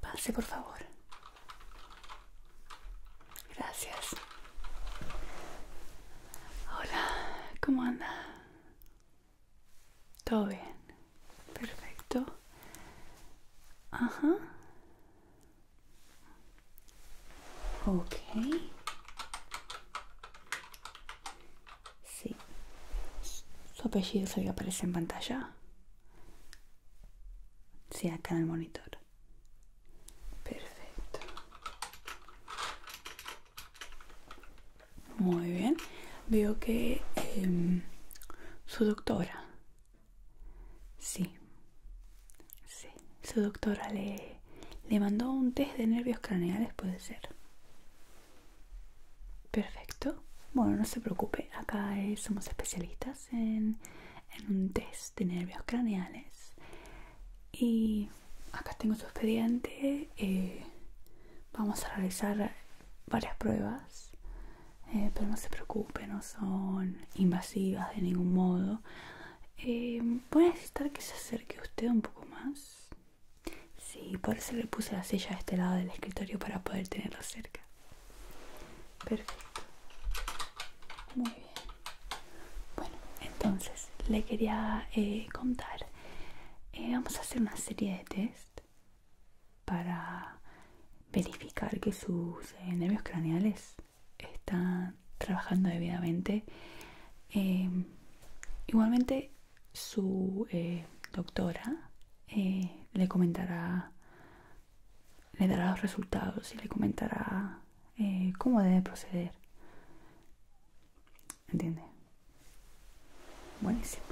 Pase, por favor. Gracias. Hola, ¿cómo anda? Todo bien. Perfecto. Ajá. Ok. Sí. Su apellido se aparece en pantalla. Sí, acá en el monitor. Perfecto. Muy bien. Veo que em, su doctora. Sí. Sí. Su doctora le, mandó un test de nervios craneales, puede ser. Perfecto. Bueno, no se preocupe. Acá eh, somos especialistas en, en un test de nervios craneales. Y acá tengo su expediente. Eh, vamos a realizar varias pruebas, eh, pero no se preocupe, no son invasivas de ningún modo. Eh, voy a necesitar que se acerque usted un poco más. Sí, por eso le puse la silla a este lado del escritorio para poder tenerlo cerca. Perfecto. Muy bien. Bueno, entonces le quería eh, contar. Eh, vamos a hacer una serie de test para verificar que sus eh, nervios craneales están trabajando debidamente. Em, igualmente, su doctora le comentará, le dará los resultados y le comentará eh, cómo debe proceder. ¿Entiendes? Buenísimo.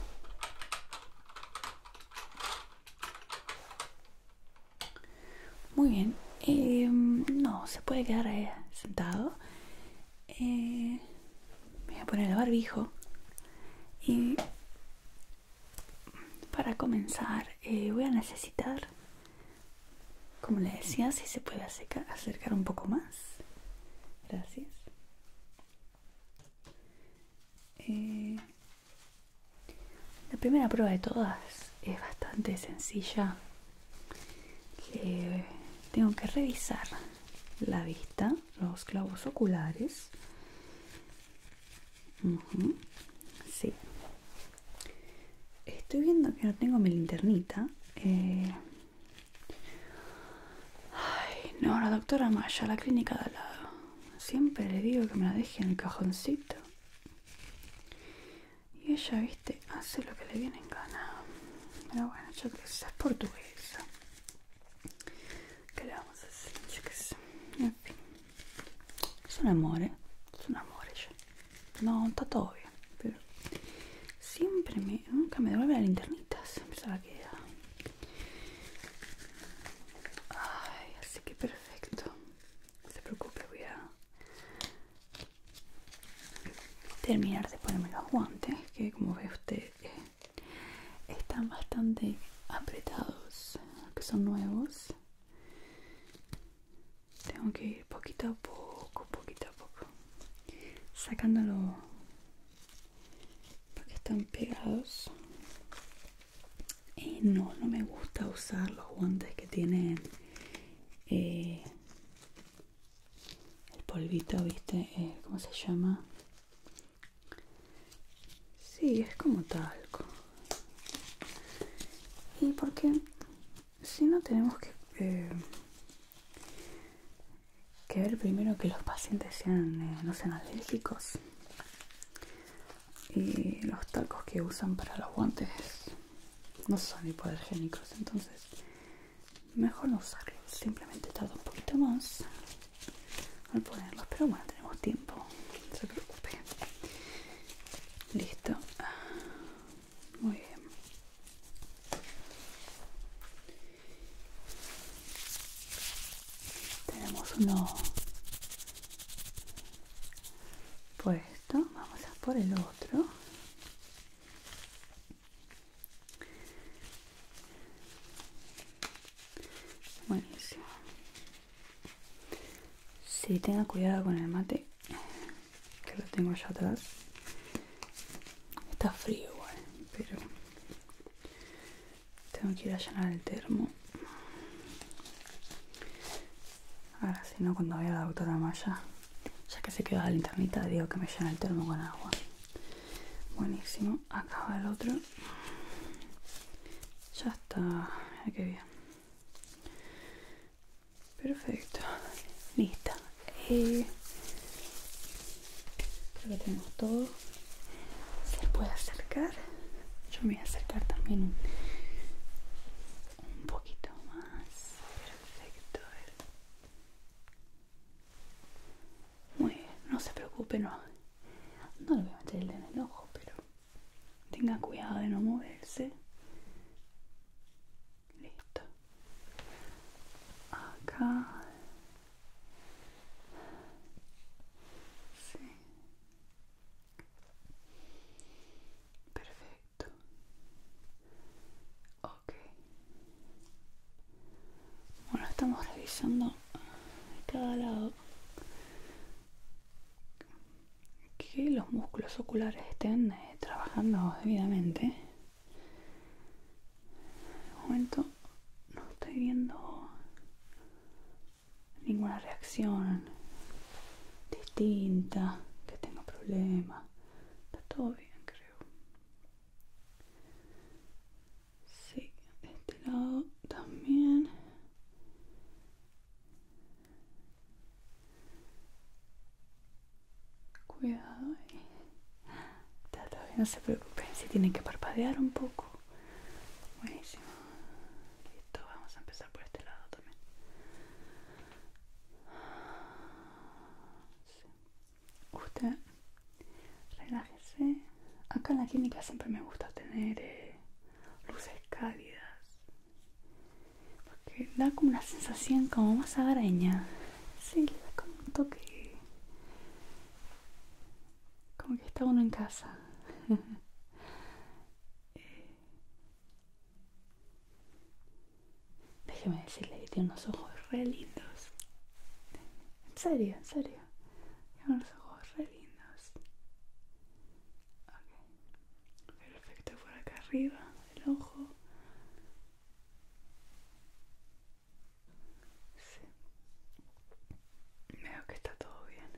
Muy bien. Eh, no, se puede quedar sentado. Eh, voy a poner el barbijo. Y para comenzar voy a necesitar como le decía, si se puede acercar, un poco más. Gracias. Eh, la primera prueba de todas es bastante sencilla. tengo que revisar la vista, los clavos oculares. Sí, Estoy viendo que no tengo mi linternita. Eh, ay, no, la doctora Maya, la clínica de al lado. Siempre le digo que me la deje en el cajoncito. Y ella, viste, hace lo que le viene en gana. Pero bueno, yo que sé, es portuguesa. ¿Qué le vamos a hacer? sé. En fin. Es un amor, ¿eh? Es un amor ella. No, está todo bien. Pero siempre me. Nunca me devuelve la linternita. Siempre se la quedar Ay, así que perfecto. No se preocupe, voy a terminar de ponerme los guantes. Que como ve usted, eh, están bastante apretados. Que son nuevos tengo que ir poquito a poco, poquito a poco, sacándolo porque están pegados. Y no, no me gusta usar los guantes que tienen eh, el polvito, ¿viste? Eh, ¿Cómo se llama? Sí, es como talco. ¿Y por qué? si no tenemos que, eh, que ver primero que los pacientes sean, eh, no sean alérgicos y los talcos que usan para los guantes no son hipoalergénicos entonces mejor no usarlos simplemente tarda un poquito más al ponerlos pero bueno tenemos tiempo no se preocupe listo muy bien tenemos uno puesto, vamos a por el otro. Buenísimo. Si tenga cuidado con el mate, que lo tengo allá atrás está frío igual pero tengo que ir a llenar el termo ahora si no cuando vaya la doctora Maya ya que se quedó la linternita digo que me llena el termo con agua buenísimo acá el otro ya está que bien Perfecto, Listo. Eh, que tenemos todo. Se puede acercar. Yo me voy a acercar también un, poquito más. Perfecto. Muy bien, no se preocupe, no. No le voy a meter el en el ojo, pero tenga cuidado de no moverse listo acá sí perfecto ok bueno estamos revisando de cada lado que los músculos oculares estén eh, trabajando debidamente de momento no estoy viendo ninguna reacción distinta, que tenga problemas. Está todo bien, creo. Sí, de este lado también. Cuidado ahí. Eh. Todavía no se preocupen si tienen que parpadear un poco. Buenísimo. Listo, vamos a empezar por este lado también. Usted, relájese. Acá en la clínica siempre me gusta tener eh, luces cálidas porque da como una sensación como más agraña sí, le da como un toque como que está uno en casa déjeme decirle que tiene unos ojos re lindos en serio, en serio tiene unos ojos re lindos perfecto por acá arriba el ojo Sí. Veo que está todo bien.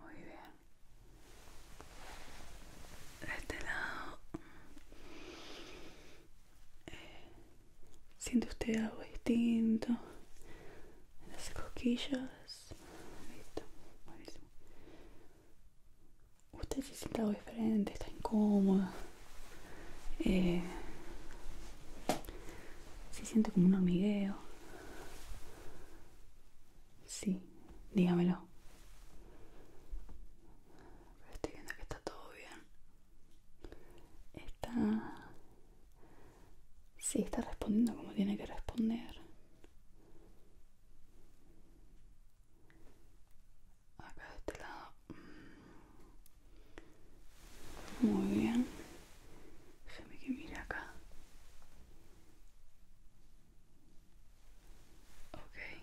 Muy bien. De este lado. Eh, siente usted algo distinto en las cosquillas listo buenísimo usted se siente algo diferente está incómoda eh, siente como un hormigueo sí dígamelo estoy viendo que está todo bien Está... Sí, está respondiendo como tiene que responder. Acá de este lado. Mm. Muy bien. Déjeme que mire acá. okay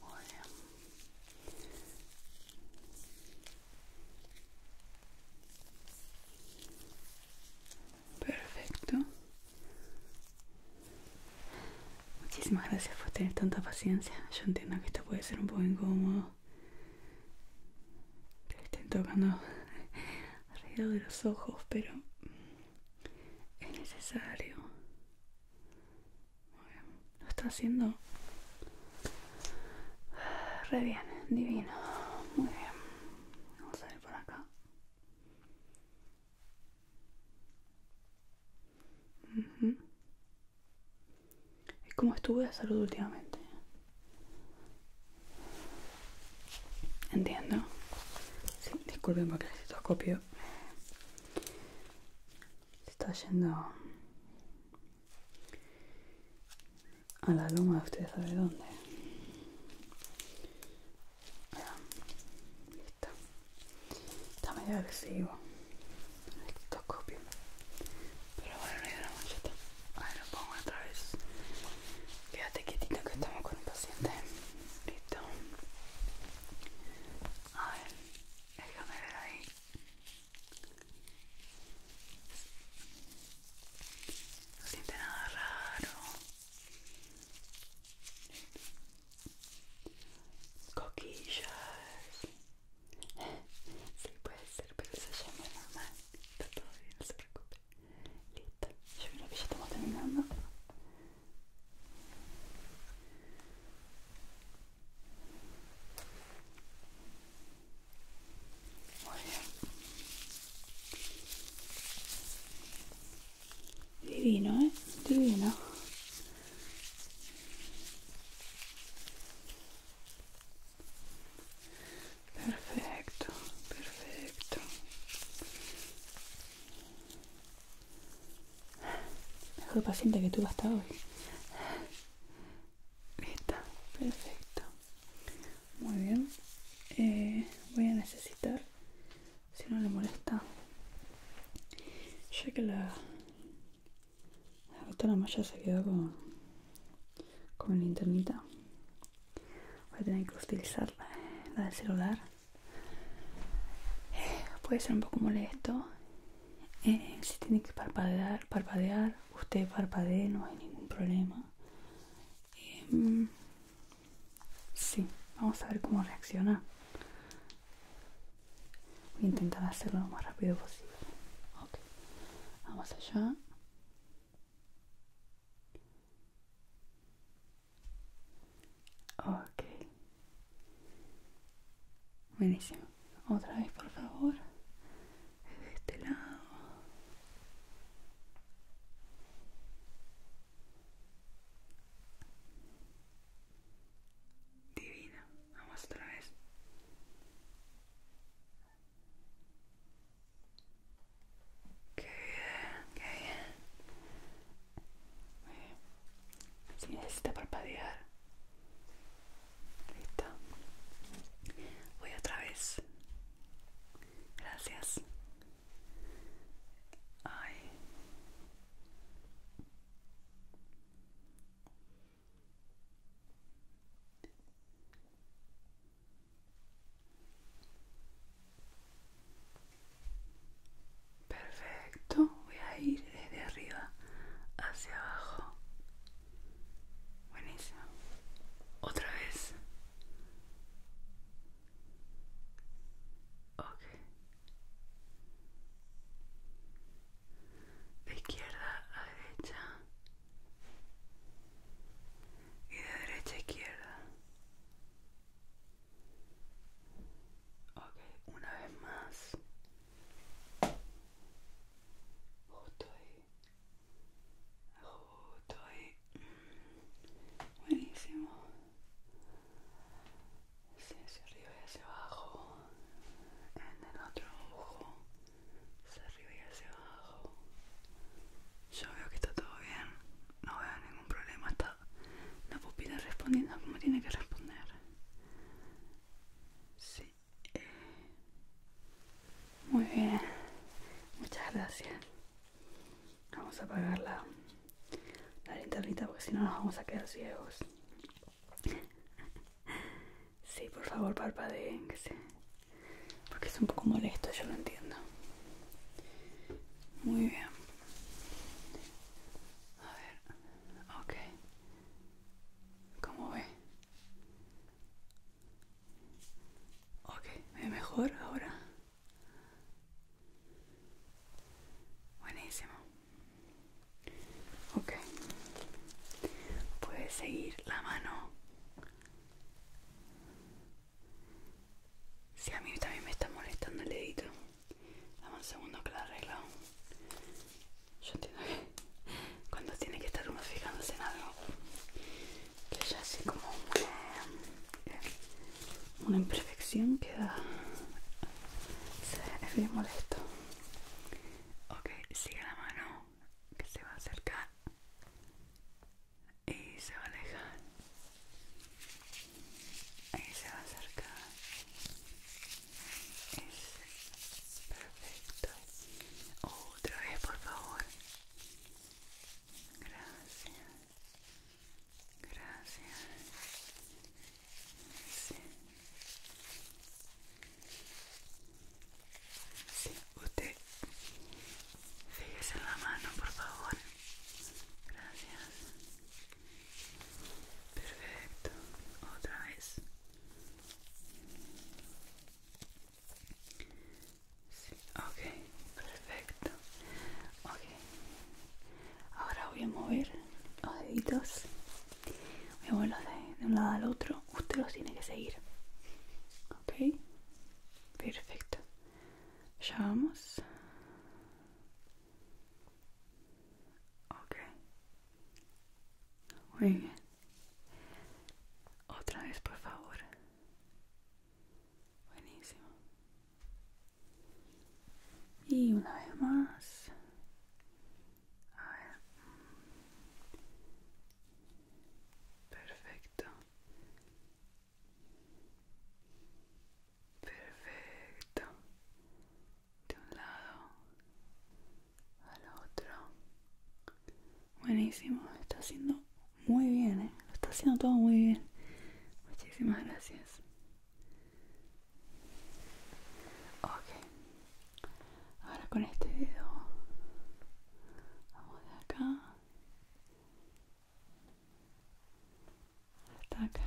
Muy Perfecto. Muchísimas gracias por tener tanta paciencia. Yo entiendo que esto puede ser un poco incómodo. Que estén tocando alrededor de los ojos, pero es necesario. Muy bien. Lo está haciendo reviene divino. Muy bien. Vamos a ir por acá. mhm ¿Y cómo estuve de salud últimamente? Entiendo. Sí, disculpen porque el exitoscopio. está yendo a la loma usted sabe dónde está está medio agresivo esto copio pero bueno no hay la mancheta a ver lo pongo otra vez quédate quietito que estamos con el paciente listo a ver déjame ver ahí Lo siente nada raro. Coquillas. Sí, puede ser, pero se llama normal. Está todo bien, no se preocupe. Listo. Yo creo que ya estamos terminando. Divino, ¿eh? Divino. Perfecto, perfecto. Mejor paciente que tú hasta hoy. Está, perfecto. Muy bien. Eh, voy a necesitar, si no le molesta, ya que la, la más se quedó con, la linternita, voy a tener que utilizar la del celular. Eh, puede ser un poco molesto eh, si tiene que parpadear, parpadear, usted parpadee, no hay ningún problema. Em, sí, vamos a ver cómo reacciona. Voy a intentar hacerlo lo más rápido posible. vamos allá. Ok, Buenísimo. Otra vez, por favor. De este lado. Divina. Vamos otra vez. Qué bien, qué bien. bien. Si necesita parpadear. Listo. Voy otra vez. Gracias. Perfecto, voy a ir desde arriba hacia abajo Buenísimo. Otra vez. okay De izquierda a derecha. Y de derecha a izquierda. Ok, una vez más justo ahí justo ahí buenísimo Si, hacia arriba y hacia abajo en el otro ojo hacia arriba y hacia abajo yo veo que está todo bien no veo ningún problema está la pupila respondiendo como tiene que responder sí muy bien, muchas gracias. Vamos a apagar la, la linternita porque si no nos vamos a quedar ciegos. Sí, por favor, parpadeen, que se... Porque es un poco molesto, yo lo entiendo. Muy bien. A ver, ok. ¿Cómo ve? Ok, ¿me mejor ahora? Buenísimo. Ok. Puedes seguir la mano. Si a mí también me está molestando el dedito. Dame un segundo que lo arreglo yo entiendo que cuando tiene que estar uno fijándose en algo que ya así como una, eh, una imperfección queda es bien molesto ok sigue la mano que se va a acercar y se va a alejar Y se va a acercar perfecto. Otra vez, por favor. Gracias. Gracias. Sí. Sí, usted fíjese en la mano, por favor. Gracias. Perfecto. Otra vez. Sí, ok, perfecto. Ok, ahora voy a mover los deditos. Voy a moverlos de, de un lado al otro. Usted los tiene que seguir. Ok, perfecto. Ya vamos. Ok, muy bien. Otra vez, por favor. Buenísimo. Y una vez más. Perfecto. Perfecto. De un lado al otro. Buenísimo, está haciendo muy bien, eh. lo está haciendo todo muy bien. Muchísimas gracias. Ok, ahora con este dedo vamos de acá hasta acá,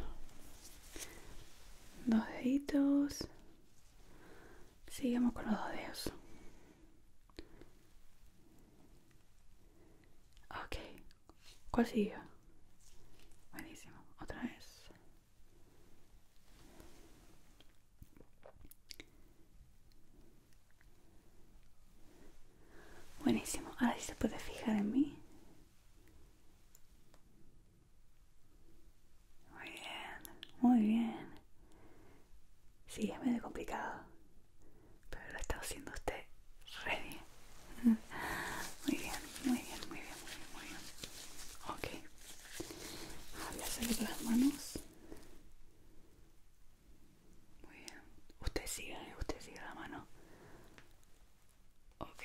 dos deditos Sigamos con los dos dedos. Ok. ¿Cuál siguió? Buenísimo. Otra vez. Buenísimo. Ahora sí se puede fijar en mí. Muy bien, muy bien. Sí, es medio complicado, pero lo está haciendo usted re Muy bien, muy bien, muy bien, muy bien, muy bien. Ok. Voy a hacer las manos. Muy bien. Usted sigue, eh, usted sigue la mano. Ok.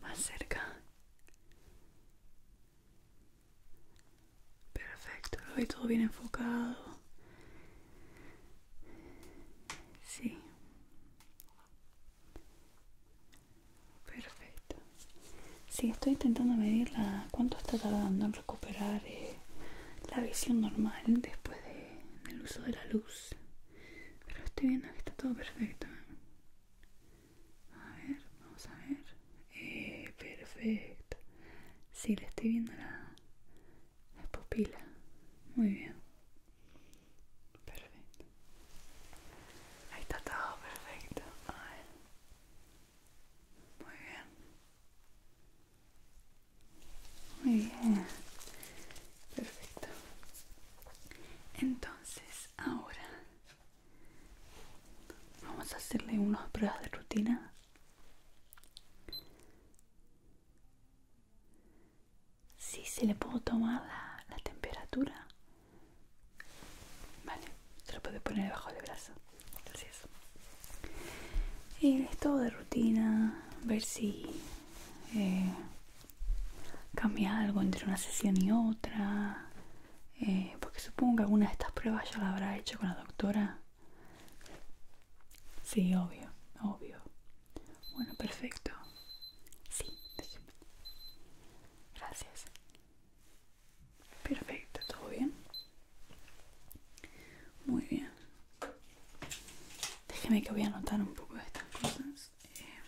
Más cerca. Perfecto, lo todo bien enfocado. Sí. Perfecto. Sí, estoy intentando medir la, cuánto está tardando en recuperar eh, la visión normal después del uso de la luz. Pero estoy viendo que está todo perfecto. A ver, vamos a ver. Eh, perfecto. Sí, le estoy viendo la, la pupila. Muy bien. Perfecto. Ahí está todo perfecto. A ver. Muy bien. Muy bien. Perfecto. Entonces, ahora Vamos a hacerle unas pruebas de rutina. si se le puedo tomar la, temperatura. Vale, se lo puede poner debajo del brazo. Gracias. Y esto de rutina. Ver si eh, cambia algo entre una sesión y otra. Eh, porque supongo que alguna de estas pruebas ya la habrá hecho con la doctora. Sí, obvio, obvio. Bueno, perfecto. Sí, déjeme. Gracias. Perfecto, ¿todo bien? Muy bien. Déjeme que voy a anotar un poco de estas cosas. Eh,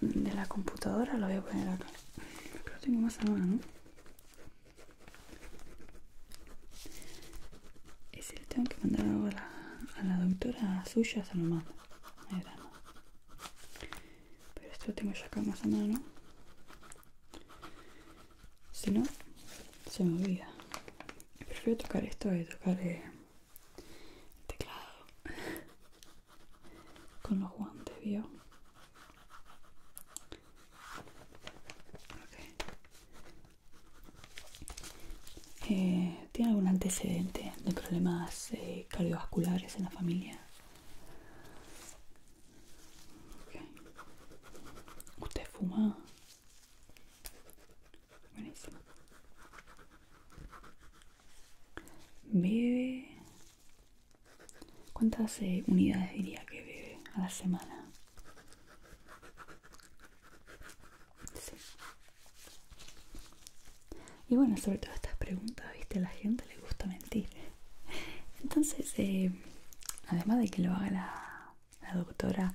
de la, computadora la voy a poner acá que lo tengo más a mano mano. si le tengo que mandar algo a la doctora suya, se lo mando. Pero esto lo tengo ya acá más a mano. Si no, se me olvida. Prefiero tocar esto y tocar eh, el teclado con los guantes, ¿vio? Eh, ¿Tiene algún antecedente de problemas eh, cardiovasculares en la familia? ¿Usted fuma? Buenísimo. ¿Bebe? ¿Cuántas eh, unidades diría que bebe a la semana? Y bueno, sobre todas estas preguntas, viste, a la gente le gusta mentir. Entonces, eh, además de que lo haga la, doctora,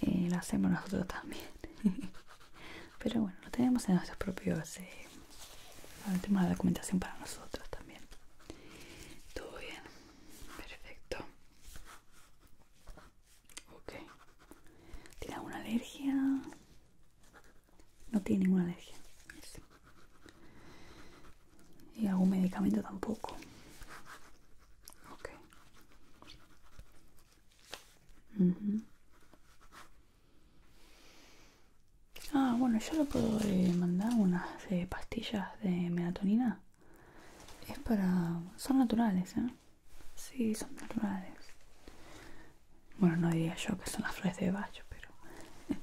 eh, lo hacemos nosotros también. Pero bueno, lo tenemos en nuestros propios el tema la documentación para nosotros también. Todo bien, perfecto. Ok. ¿Tiene alguna alergia? No tiene ninguna alergia. Y algún medicamento tampoco. Ok. Ah, bueno, yo le puedo eh, mandar unas eh, pastillas de melatonina. Es para... Son naturales, ¿eh? Sí, son naturales. Bueno, no diría yo que son las flores de bacho, pero...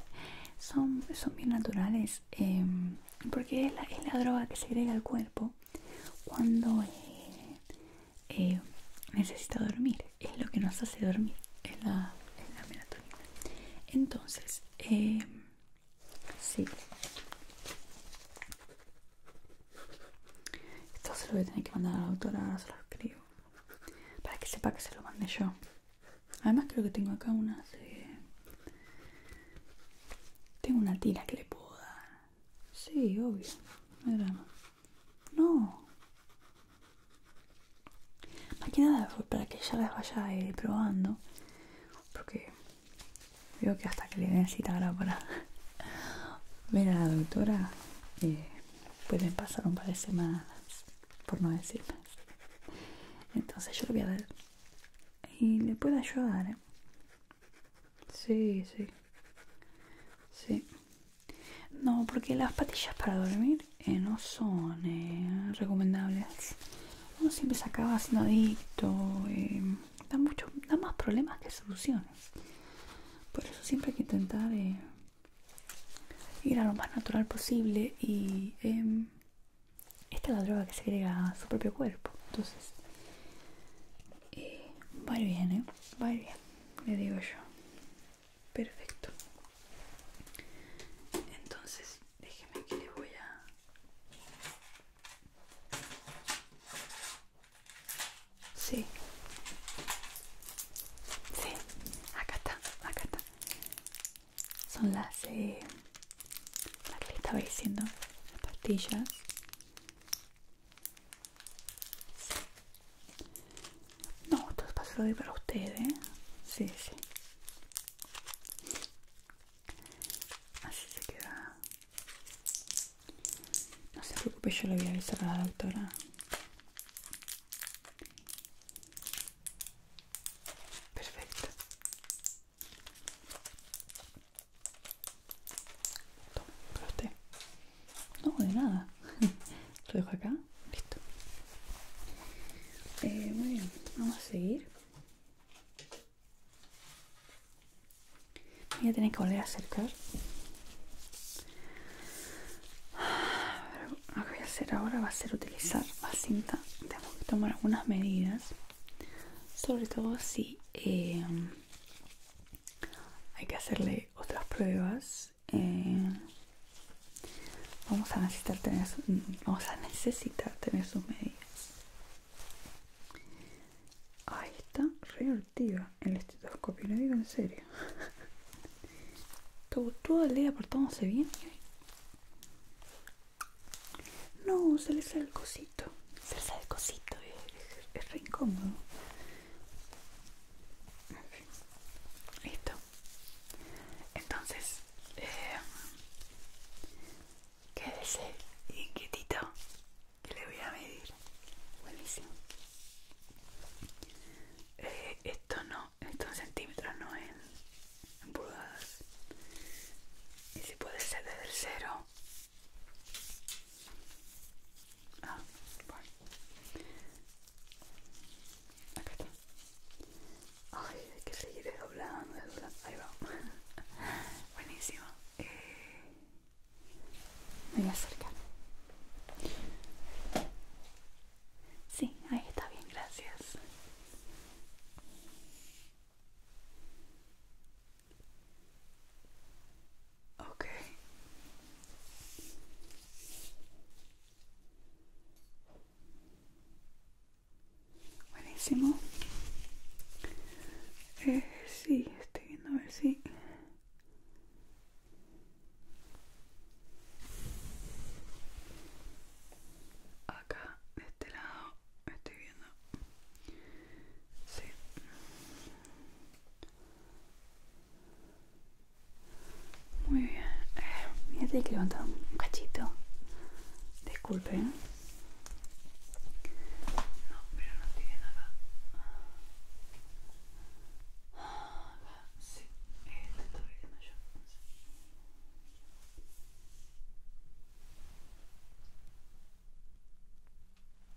son, son bien naturales. Em, porque es la, droga que se agrega al cuerpo cuando eh, necesita dormir es lo que nos hace dormir, es la, melatonina. Entonces, eh, sí. Esto se lo voy a tener que mandar a la doctora, se lo escribo. Para que sepa que se lo mandé yo. Además creo que tengo acá una eh... Tengo una tira que le puedo dar. Sí, obvio. No No. Más que nada para que ella las vaya eh, probando. Porque veo que hasta que le necesita ahora para ver a la doctora eh, pueden pasar un par de semanas, por no decir más. Entonces yo lo voy a ver. Y le puede ayudar, eh. Sí, sí. Sí. No, porque las patillas para dormir eh, no son eh, recomendables. Uno siempre se acaba siendo adicto, eh, da, mucho, más problemas que soluciones. Por eso siempre hay que intentar ir a lo más natural posible y em, esta es la droga que se agrega a su propio cuerpo. Entonces, va bien, Va bien, le digo yo perfecto entonces déjeme que le voy a sí sí acá está acá está son las eh, las que le estaba diciendo las pastillas no, esto es para, ustedes. para ¿eh? Sí, sí. Así se queda. No se preocupe, yo le voy a avisar a la doctora. Perfecto. Toma, para usted. No, de nada. Lo dejo acá. Listo. Eh, muy bien, vamos a seguir. Voy a tener que volver a acercar. lo que voy a hacer ahora va a ser utilizar la cinta. Tenemos que tomar algunas medidas. Sobre todo si em, hay que hacerle otras pruebas. Eh, Vamos a necesitar tener, vamos a necesitar tener sus medidas. Ahí está, re el estetoscopio, le digo en serio. Todo, el día portándose bien. No, se le sale el cosito. Se le sale el cosito, es, re incómodo. En fin. Entonces, eh, quédese inquietito que le voy a medir. Buenísimo. Eh, esto no, esto en centímetros, no en, pulgadas. Y si puede ser desde el cero. Ah, bueno. Acá Ay, hay que seguir doblando, desdoblando. Ahí va. Buenísimo. Eh, me voy a acercar. Sí, ahí está bien, gracias. Ok. Buenísimo. Eh, sí, estoy viendo a ver si... Acá, de este lado, estoy viendo. Sí. Muy bien. Mira, eh, hay que levantar un cachito. disculpen No, pero no tiene nada. Acá, sí. Este todavía abriendo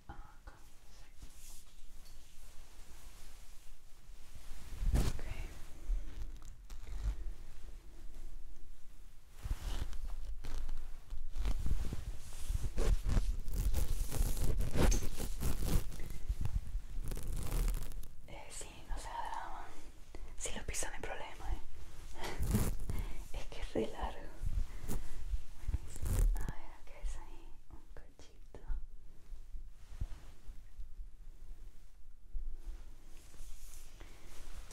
Ah, Acá, sí. Ok. Eh, sí, no se da Si lo pisa, no hay problema, ¿eh? es que es re largo. A ver, qué es ahí un cachito.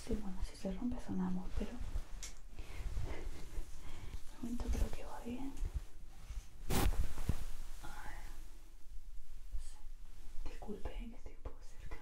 Sí, bueno, si se rompe sonamos, pero de momento creo que va bien. Disculpen que estoy un poco cerca.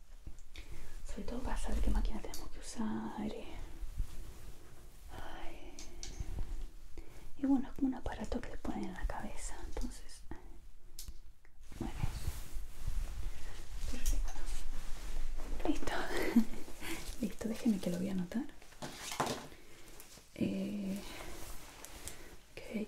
sobre todo para saber qué máquina tenemos que usar eh. y bueno es como un aparato que le ponen en la cabeza entonces bueno perfecto listo listo déjenme que lo voy a anotar eh, que he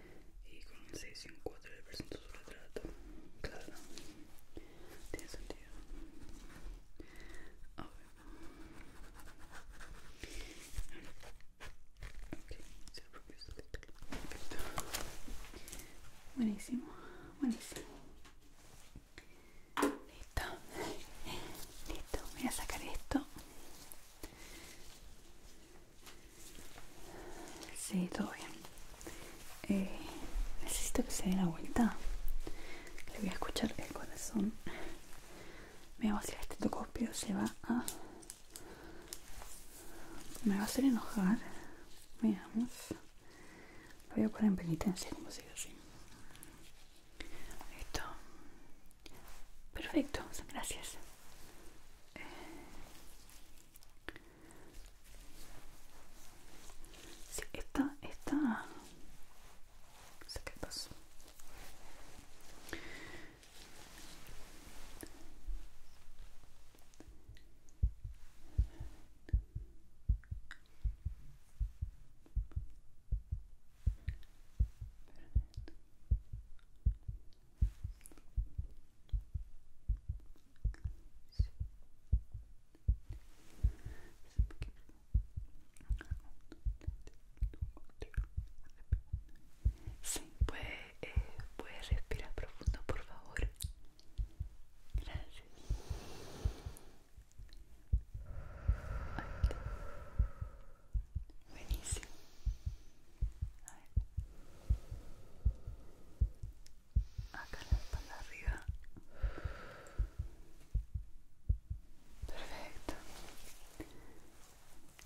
y con un 6 y un 4 de presento su retrato. Claro, tiene sentido. A ver. Ok, se propio este Perfecto. Buenísimo, buenísimo. Listo, listo, voy a sacar esto. Sí, todo bien. Eh, necesito que se dé la vuelta. Le voy a escuchar el corazón. Me va a hacer este se va a... Me va a hacer enojar. Veamos. Lo voy a poner en penitencia, como se dice así. Listo. Perfecto, gracias si esta, está... qué pasó. Sí, eh, puede, respirar profundo, por favor. Gracias. Buenísimo. A ver. Acá la espalda arriba. Perfecto.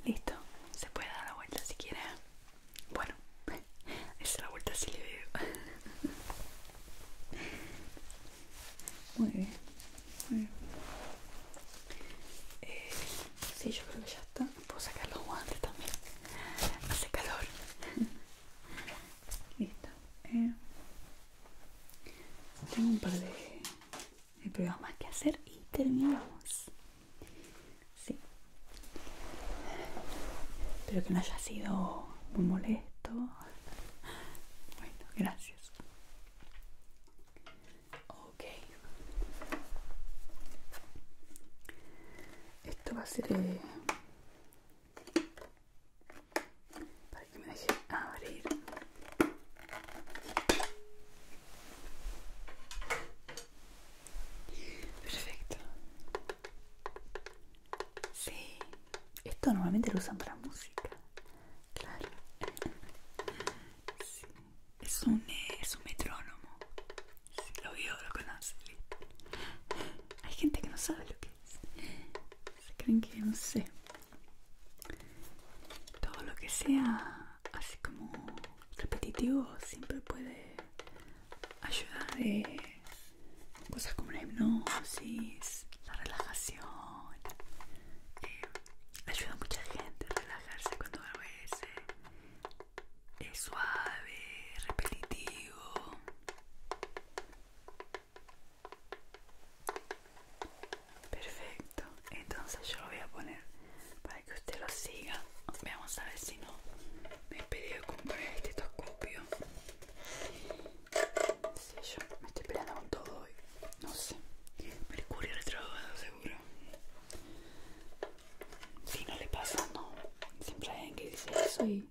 Listo. Se puede dar la vuelta si quiere. Bueno, es la vuelta si le veo. Muy bien, muy eh, sí, yo creo que ya está. Puedo sacar los guantes también. Hace calor. Listo. Eh, tengo un par de, pruebas más que hacer y terminamos. Sí. Espero que no haya sido muy molesto. Bueno, gracias. Ok esto va a ser eh, para que me deje abrir perfecto sí esto normalmente lo usan para música claro sí es un, un metrónomo. Si lo vio, lo conoce. Hay gente que no sabe lo que es. Se creen que no sé. Todo lo que sea así como repetitivo siempre puede ayudar eh, cosas como la hipnosis, la relajación. Eh, ayuda a mucha gente a relajarse cuando algo es suave, repetitivo. Perfecto, entonces yo lo voy a poner para que usted lo siga. Vamos a ver si no me he pedido comprar este estetoscopio. Sí, yo me estoy peleando con todo hoy. No sé. Mercurio retrogrado seguro. Si no le pasa, no. Siempre hay que dice eso y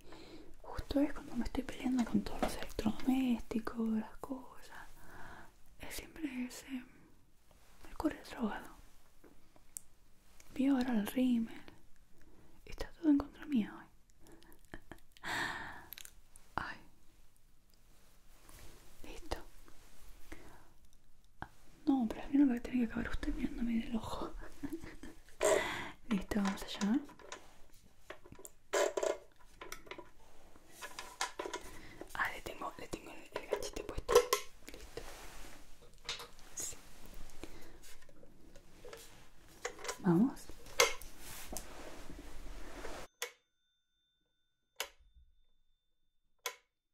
justo es cuando me estoy peleando con todos los electrodomésticos, las cosas. Es siempre ese... el drogado. Vi ahora el rímel. Está todo en contra mía hoy. Ay. Listo. No, pero al final va a tener que acabar usted mirándome del ojo. Listo, vamos allá. Ah, le tengo, le tengo el, ganchito puesto. Listo. Vamos.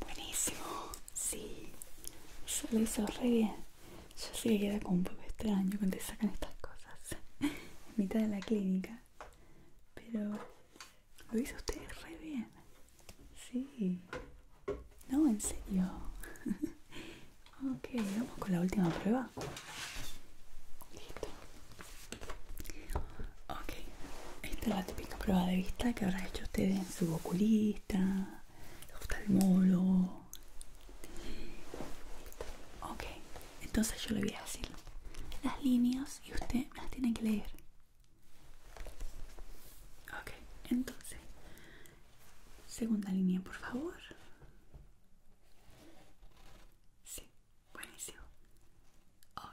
Buenísimo, sí, Eso lo hizo re bien. Yo sí que queda como un poco extraño cuando te sacan estas cosas en mitad de la clínica, pero lo hizo ustedes re bien. Sí, no, en serio. ok, vamos con la última prueba. Listo, Ok, esta es la típica prueba de vista que habrá hecho usted en su oculista, el molo... Ok, entonces yo le voy a decir las líneas y usted las tiene que leer. Ok, entonces, segunda línea, por favor. Sí, Buenísimo. Ok.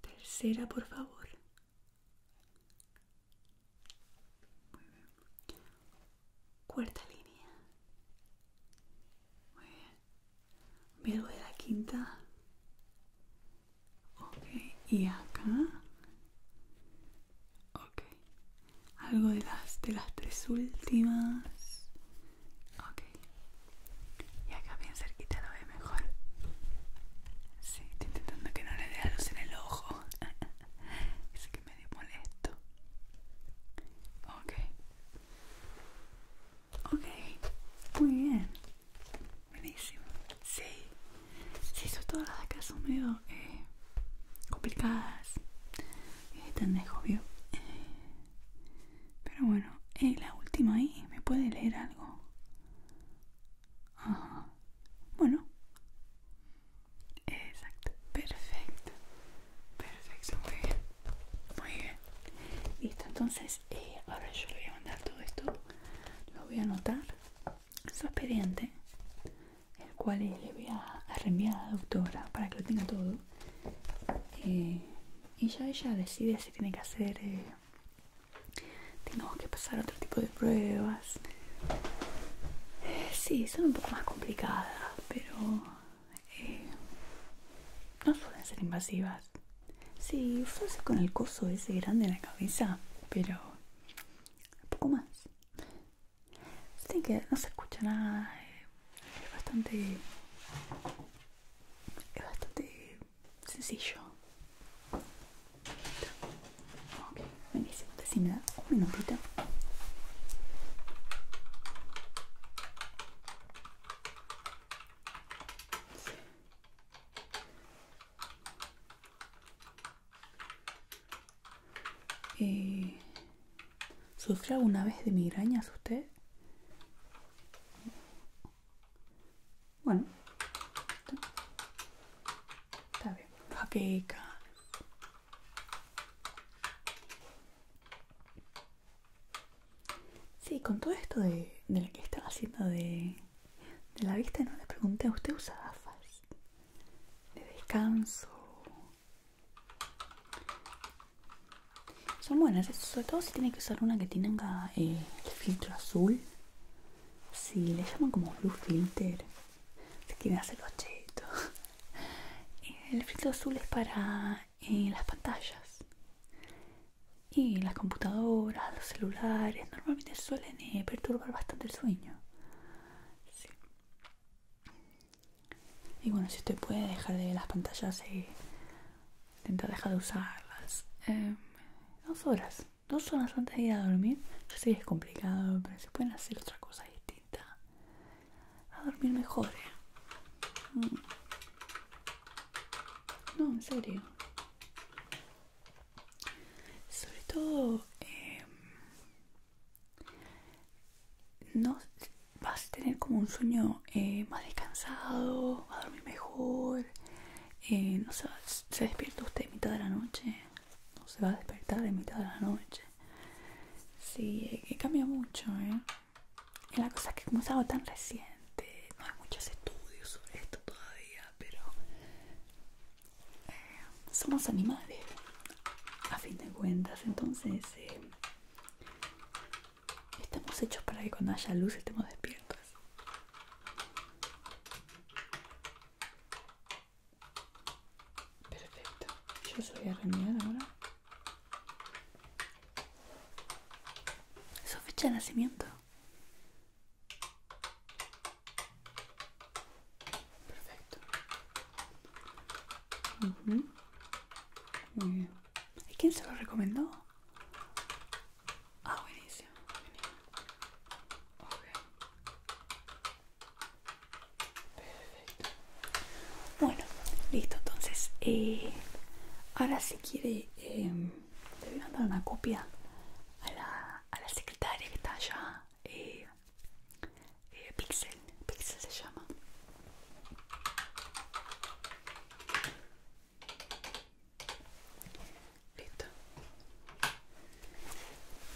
Tercera, por favor. Cuarta línea. Muy bien. Me de la quinta. Ok. Y acá. Ok. Algo de las, de las tres últimas. Ok. Y acá bien cerquita lo ve mejor. Sí, estoy intentando que no le dé la luz en el ojo. es que me dio molesto. Ok. Ok. Muy bien. Buenísimo. Sí. Sí, son todas las acá son medio eh, complicadas. Es tan de pero bueno, eh, la última ahí, ¿me puede leer algo? Ajá. Bueno. Exacto. Perfecto. Perfecto, muy bien. Muy bien. Listo, entonces eh, ahora yo le voy a mandar todo esto. Lo voy a anotar su expediente, el cual le voy a reenviar a la doctora para que lo tenga todo. Eh, y ya ella decide si tiene que hacer tengo que pasar otro tipo de pruebas. Eh, sí, son un poco más complicadas, pero eh, no suelen ser invasivas. Sí, usarse con el coso ese grande en la cabeza, pero un poco más. así que no se escucha nada, eh, es bastante. Es bastante sencillo. Ok, buenísimo. Así me da un minutito. Eh, ¿Sufre alguna vez de migrañas usted? Bueno, está bien. Sí, con todo esto de, lo que estaba haciendo de, de la vista, no le pregunté, ¿usted usa gafas? De descanso son buenas, sobre todo si tiene que usar una que tenga eh, el filtro azul. Si le llaman como blue filter, si quieren hacerlo cheto. Eh, el filtro azul es para eh, las pantallas y las computadoras, los celulares, normalmente suelen perturbar bastante el sueño. Y bueno, si usted puede dejar de las pantallas eh, intenta dejar de usarlas em, dos horas dos horas antes de ir a dormir yo sé que es complicado pero se pueden hacer otra cosa distinta a dormir mejor eh. mm. no en serio sobre todo em, no vas a tener como un sueño eh, más descansado a dormir mejor eh, no sé, se despierta usted en mitad de la noche, no se va a despertar en mitad de la noche. Sí, he eh, cambia mucho, ¿eh? la cosa que como tan reciente, no hay muchos estudios sobre esto todavía, pero eh, somos animales, a fin de cuentas, entonces Estamos hechos para que cuando haya luz estemos despiertos. Perfecto. Yo soy a ahora. ¿Su fecha de nacimiento? Perfecto. Muy bien. ¿Y quién se lo recomendó? Ah, buenísimo. buenísimo. Perfecto. Bueno, listo. Entonces, eh, ahora si quiere, em, le voy a mandar una copia a la, a la secretaria que está allá. eh, eh Pixel, Pixel se llama. Listo.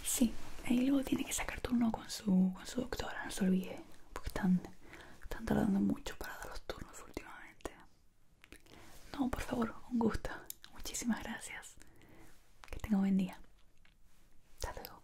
Sí, ahí luego tiene que sacar turno con su, con su doctora, no se olvide, porque están, tardando mucho para dar los turnos últimamente. No, por favor, un gusto. Muchísimas gracias. Que tenga buen día. Hasta luego.